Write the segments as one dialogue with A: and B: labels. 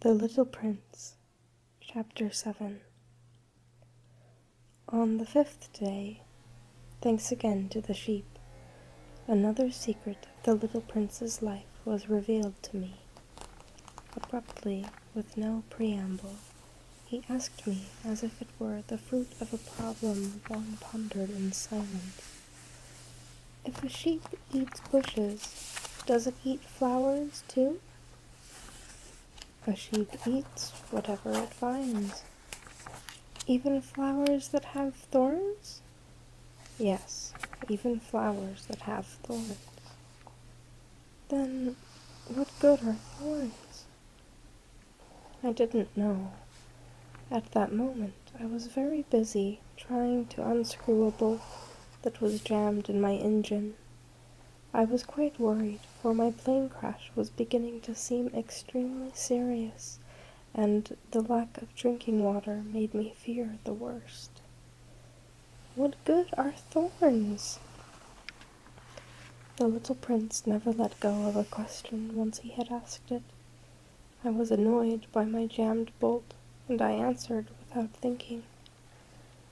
A: The Little Prince, Chapter 7 On the fifth day, thanks again to the sheep, another secret of the little prince's life was revealed to me. Abruptly, with no preamble, he asked me as if it were the fruit of a problem long pondered in silence if a sheep eats bushes, does not it eat flowers too? A sheep eats whatever it finds. Even flowers that have thorns? Yes, even flowers that have thorns. Then what good are thorns? I didn't know at that moment. I was very busy trying to unscrew a bolt that was jammed in my engine. I was quite worried, for my plane crash was beginning to seem extremely serious, and the lack of drinking water made me fear the worst. What good are thorns? The little prince never let go of a question once he had asked it. I was annoyed by my jammed bolt, and I answered without thinking.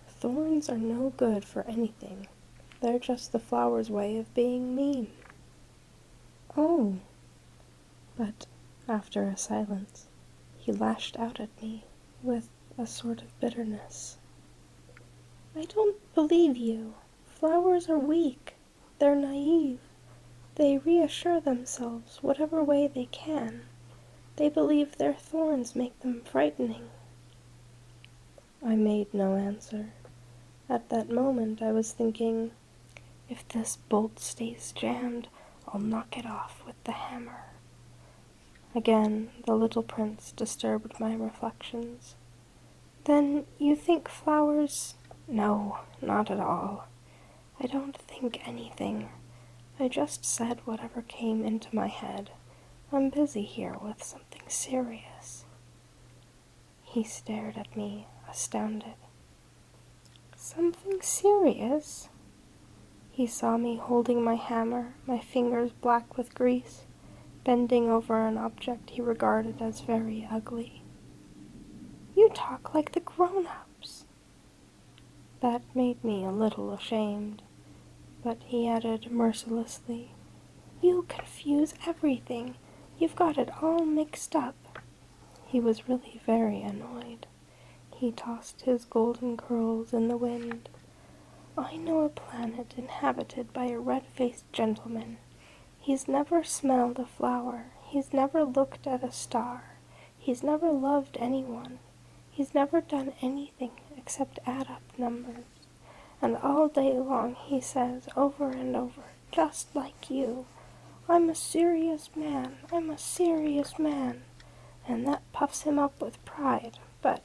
A: Thorns are no good for anything. They're just the flower's way of being mean. Oh! But after a silence, he lashed out at me with a sort of bitterness. I don't believe you. Flowers are weak. They're naive. They reassure themselves whatever way they can. They believe their thorns make them frightening. I made no answer. At that moment I was thinking, if this bolt stays jammed, I'll knock it off with the hammer. Again, the little prince disturbed my reflections. Then you think flowers? No, not at all. I don't think anything. I just said whatever came into my head. I'm busy here with something serious. He stared at me, astounded. Something serious? He saw me holding my hammer, my fingers black with grease, bending over an object he regarded as very ugly. You talk like the grown ups. That made me a little ashamed, but he added mercilessly, You confuse everything. You've got it all mixed up. He was really very annoyed. He tossed his golden curls in the wind. I know a planet inhabited by a red faced gentleman. He's never smelled a flower. He's never looked at a star. He's never loved anyone. He's never done anything except add up numbers. And all day long he says over and over, just like you, I'm a serious man, I'm a serious man. And that puffs him up with pride, but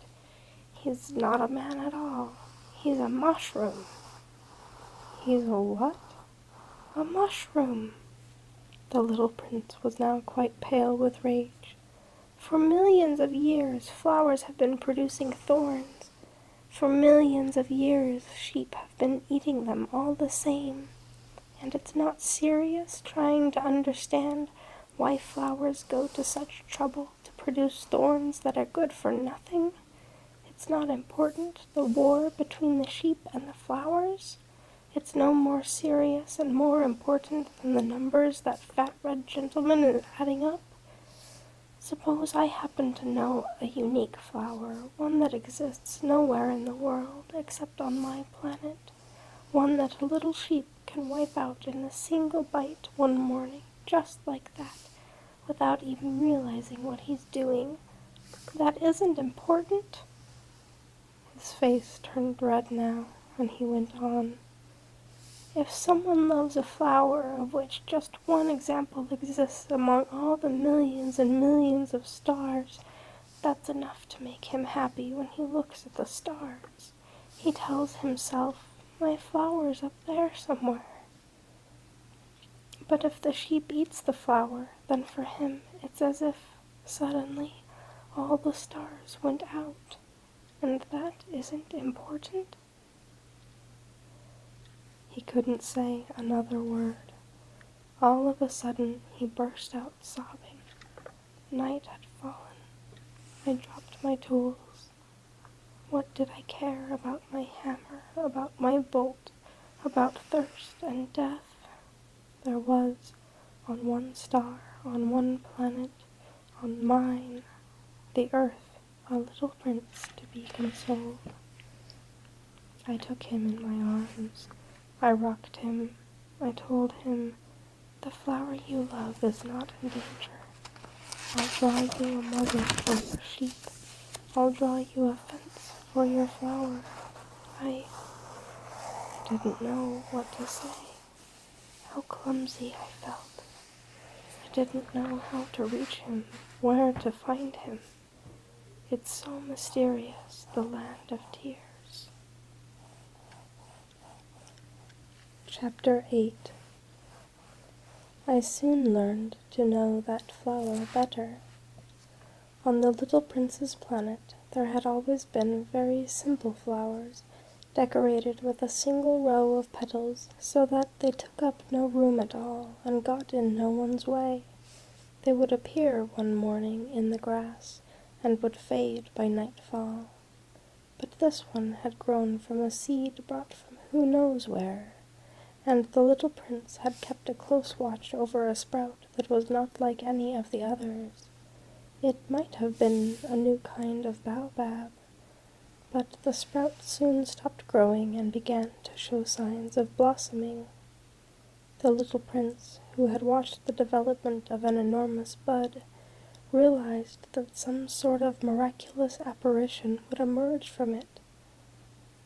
A: he's not a man at all. He's a mushroom. He's a what? A mushroom! The little prince was now quite pale with rage. For millions of years, flowers have been producing thorns. For millions of years, sheep have been eating them all the same. And it's not serious trying to understand why flowers go to such trouble to produce thorns that are good for nothing. It's not important, the war between the sheep and the flowers. It's no more serious and more important than the numbers that fat red gentleman is adding up. Suppose I happen to know a unique flower, one that exists nowhere in the world except on my planet, one that a little sheep can wipe out in a single bite one morning, just like that, without even realizing what he's doing. That isn't important. His face turned red now, and he went on. If someone loves a flower of which just one example exists among all the millions and millions of stars, that's enough to make him happy when he looks at the stars. He tells himself, My flower's up there somewhere. But if the sheep eats the flower, then for him it's as if Suddenly, all the stars went out, and that isn't important? He couldn't say another word. All of a sudden, he burst out sobbing. Night had fallen. I dropped my tools. What did I care about my hammer, about my bolt, about thirst and death? there was on one star, on one planet, on mine, the earth, a little prince to be consoled. I took him in my arms, I rocked him, I told him, the flower you love is not in danger. I'll draw you a mother for your sheep, I'll draw you a fence for your flower. I didn't know what to say. How clumsy I felt. I didn't know how to reach him, where to find him. It's so mysterious, the land of tears. Chapter 8 I soon learned to know that flower better. On the little prince's planet there had always been very simple flowers, decorated with a single row of petals so that they took up no room at all and got in no one's way. They would appear one morning in the grass and would fade by nightfall. But this one had grown from a seed brought from who knows where, and the little prince had kept a close watch over a sprout that was not like any of the others. It might have been a new kind of baobab, but the sprout soon stopped growing and began to show signs of blossoming. The little prince, who had watched the development of an enormous bud, realized that some sort of miraculous apparition would emerge from it.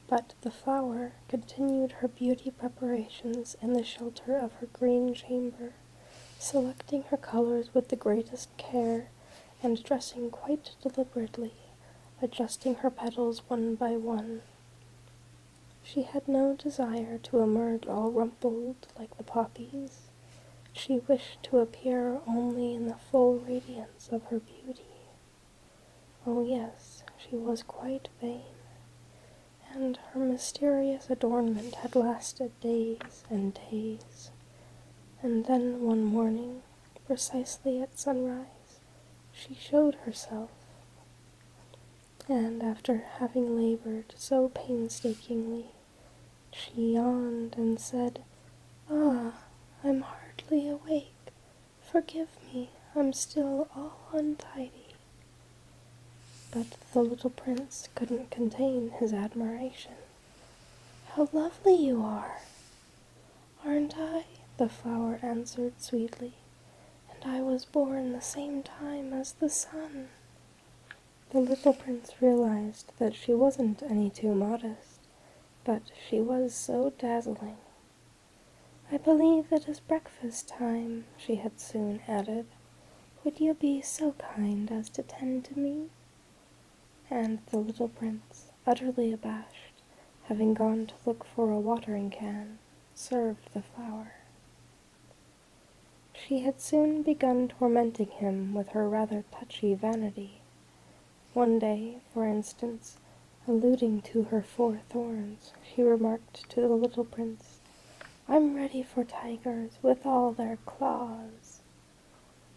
A: But the flower continued her beauty preparations in the shelter of her green chamber, selecting her colors with the greatest care and dressing quite deliberately, adjusting her petals one by one. She had no desire to emerge all rumpled like the poppies. She wished to appear only in the full radiance of her beauty. Oh yes, she was quite vain and her mysterious adornment had lasted days and days. And then one morning, precisely at sunrise, she showed herself. And after having labored so painstakingly, she yawned and said, Ah, I'm hardly awake. Forgive me, I'm still all untidy. But the little prince couldn't contain his admiration. How lovely you are! Aren't I? the flower answered sweetly, and I was born the same time as the sun. The little prince realized that she wasn't any too modest, but she was so dazzling. I believe it is breakfast time, she had soon added. Would you be so kind as to tend to me? And the little prince, utterly abashed, having gone to look for a watering can, served the flower. She had soon begun tormenting him with her rather touchy vanity. One day, for instance, alluding to her four thorns, she remarked to the little prince I'm ready for tigers with all their claws.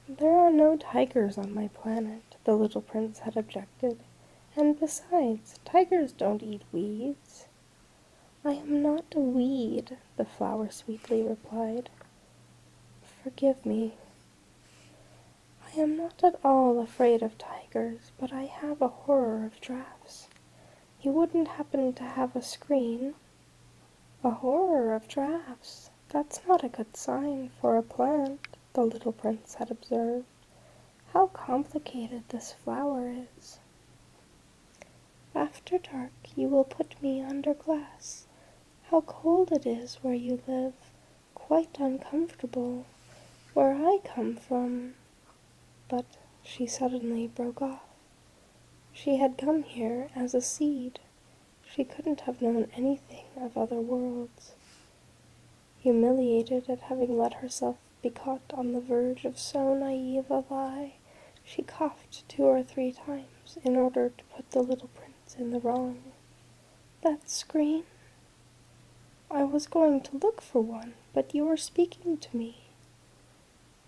A: There are no tigers on my planet, the little prince had objected, and besides, tigers don't eat weeds. I am not a weed, the flower sweetly replied. Forgive me. I am not at all afraid of tigers, but I have a horror of draughts. You wouldn't happen to have a screen? A horror of drafts. That's not a good sign for a plant, the little prince had observed. How complicated this flower is. After dark, you will put me under glass. How cold it is where you live, quite uncomfortable. Where I come from, but she suddenly broke off. She had come here as a seed. She couldn't have known anything of other worlds. Humiliated at having let herself be caught on the verge of so naive a lie, she coughed two or three times in order to put the little prince in the wrong. That screen? I was going to look for one, but you are speaking to me.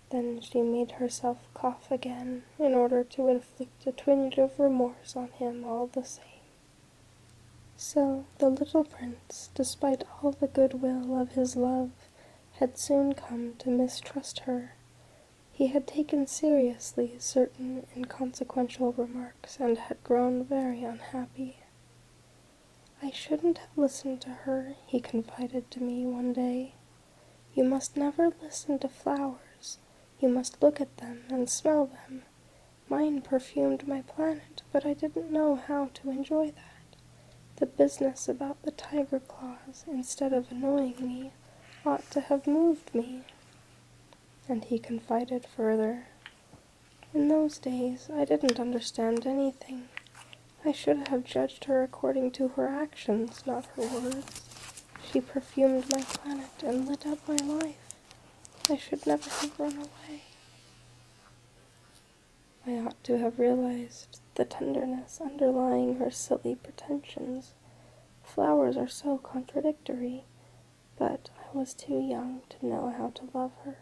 A: Then she made herself cough again in order to inflict a twinge of remorse on him all the same. So the little prince, despite all the goodwill of his love, had soon come to mistrust her. He had taken seriously certain inconsequential remarks and had grown very unhappy. I shouldn't have listened to her, he confided to me one day. You must never listen to flowers. You must look at them and smell them. Mine perfumed my planet, but I didn't know how to enjoy that. The business about the tiger claws, instead of annoying me, ought to have moved me. And he confided further. In those days, I didn't understand anything. I should have judged her according to her actions, not her words. She perfumed my planet and lit up my life. I should never have run away. I ought to have realized the tenderness underlying her silly pretensions. Flowers are so contradictory, but I was too young to know how to love her.